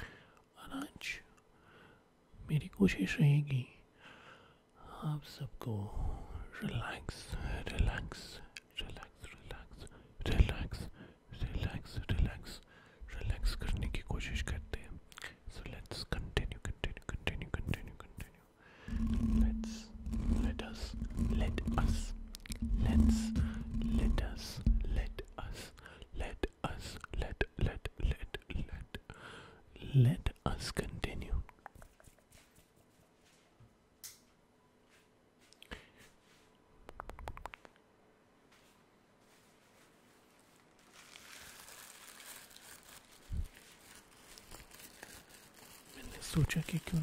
और आज मेरी कोशिश रहेगी आप सबको रिलैक्स रिलैक्स करने की कोशिश करते हैं let us let us let let let let let us continue मैंने सोचा कि क्यों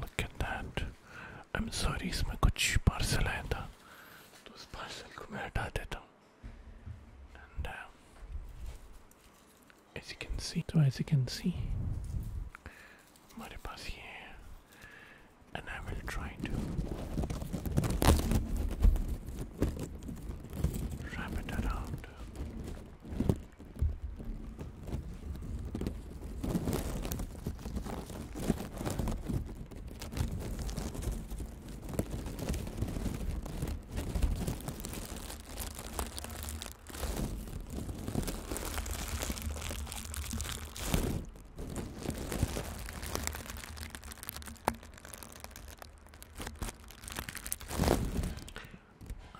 Look at that. I'm sorry, इसमें कुछ parcel आया था, तो उस parcel को मैं हटा देता हूँ. And uh, as you can see, so as you can see, हमारे पास ये है. And I will try to wrap it around.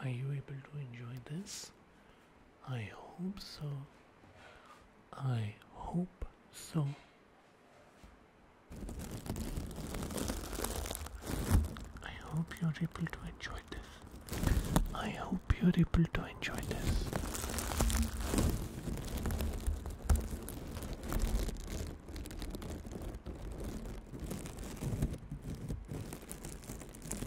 Are you able to enjoy this? I hope so. I hope so. I hope you're able to enjoy this. I hope you're able to enjoy this.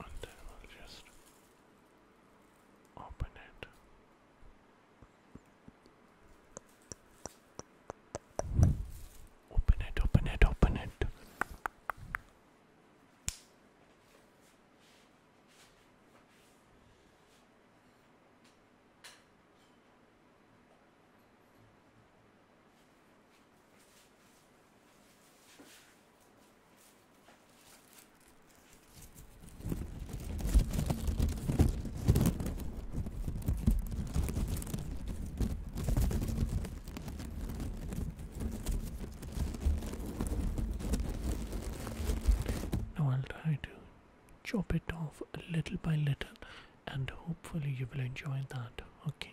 and then we'll just open it. Open it, open it, open it. No, I'll try to chop it off little by little and hopefully you will enjoy that okay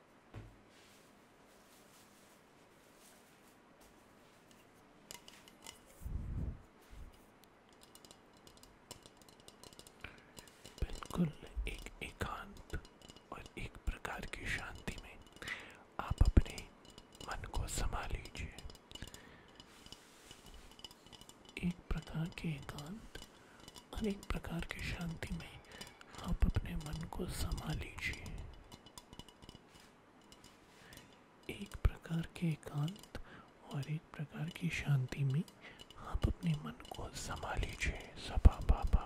एक प्रकार की शांति में आप अपने मन को समा एक प्रकार के एकांत और एक प्रकार की शांति में आप अपने मन को समा लीजिए एक प्रकार के एकांत और एक प्रकार की शांति में आप अपने मन को समा लीजिए सबा बाबा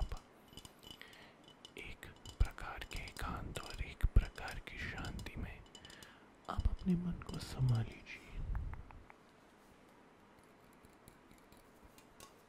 एक प्रकार के एकांत और एक प्रकार की शांति में आप अपने मन को समा लीजिए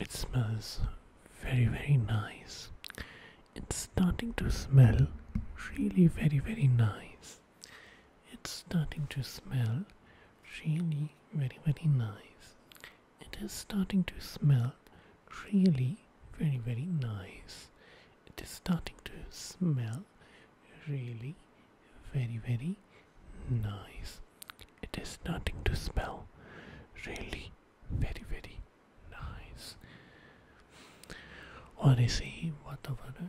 It smells very, very nice. It's starting to smell really very, very nice. It's starting to smell really very very nice. It is starting to smell really very very nice. It is starting to smell really very very nice. It is starting to smell really very very nice. और इसी वातावरण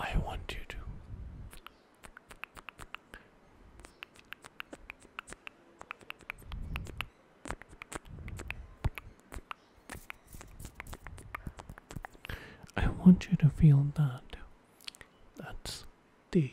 I want you to I want you to feel that. That's the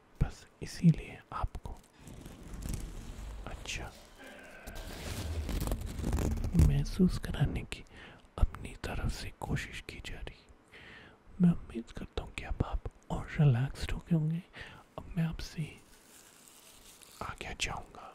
बस इसीलिए आपको अच्छा महसूस कराने की अपनी तरफ से कोशिश की जा रही मैं उम्मीद करता हूँ कि अब आप और रिलैक्स्ड हो गए होंगे अब मैं आपसे आगे जाऊँगा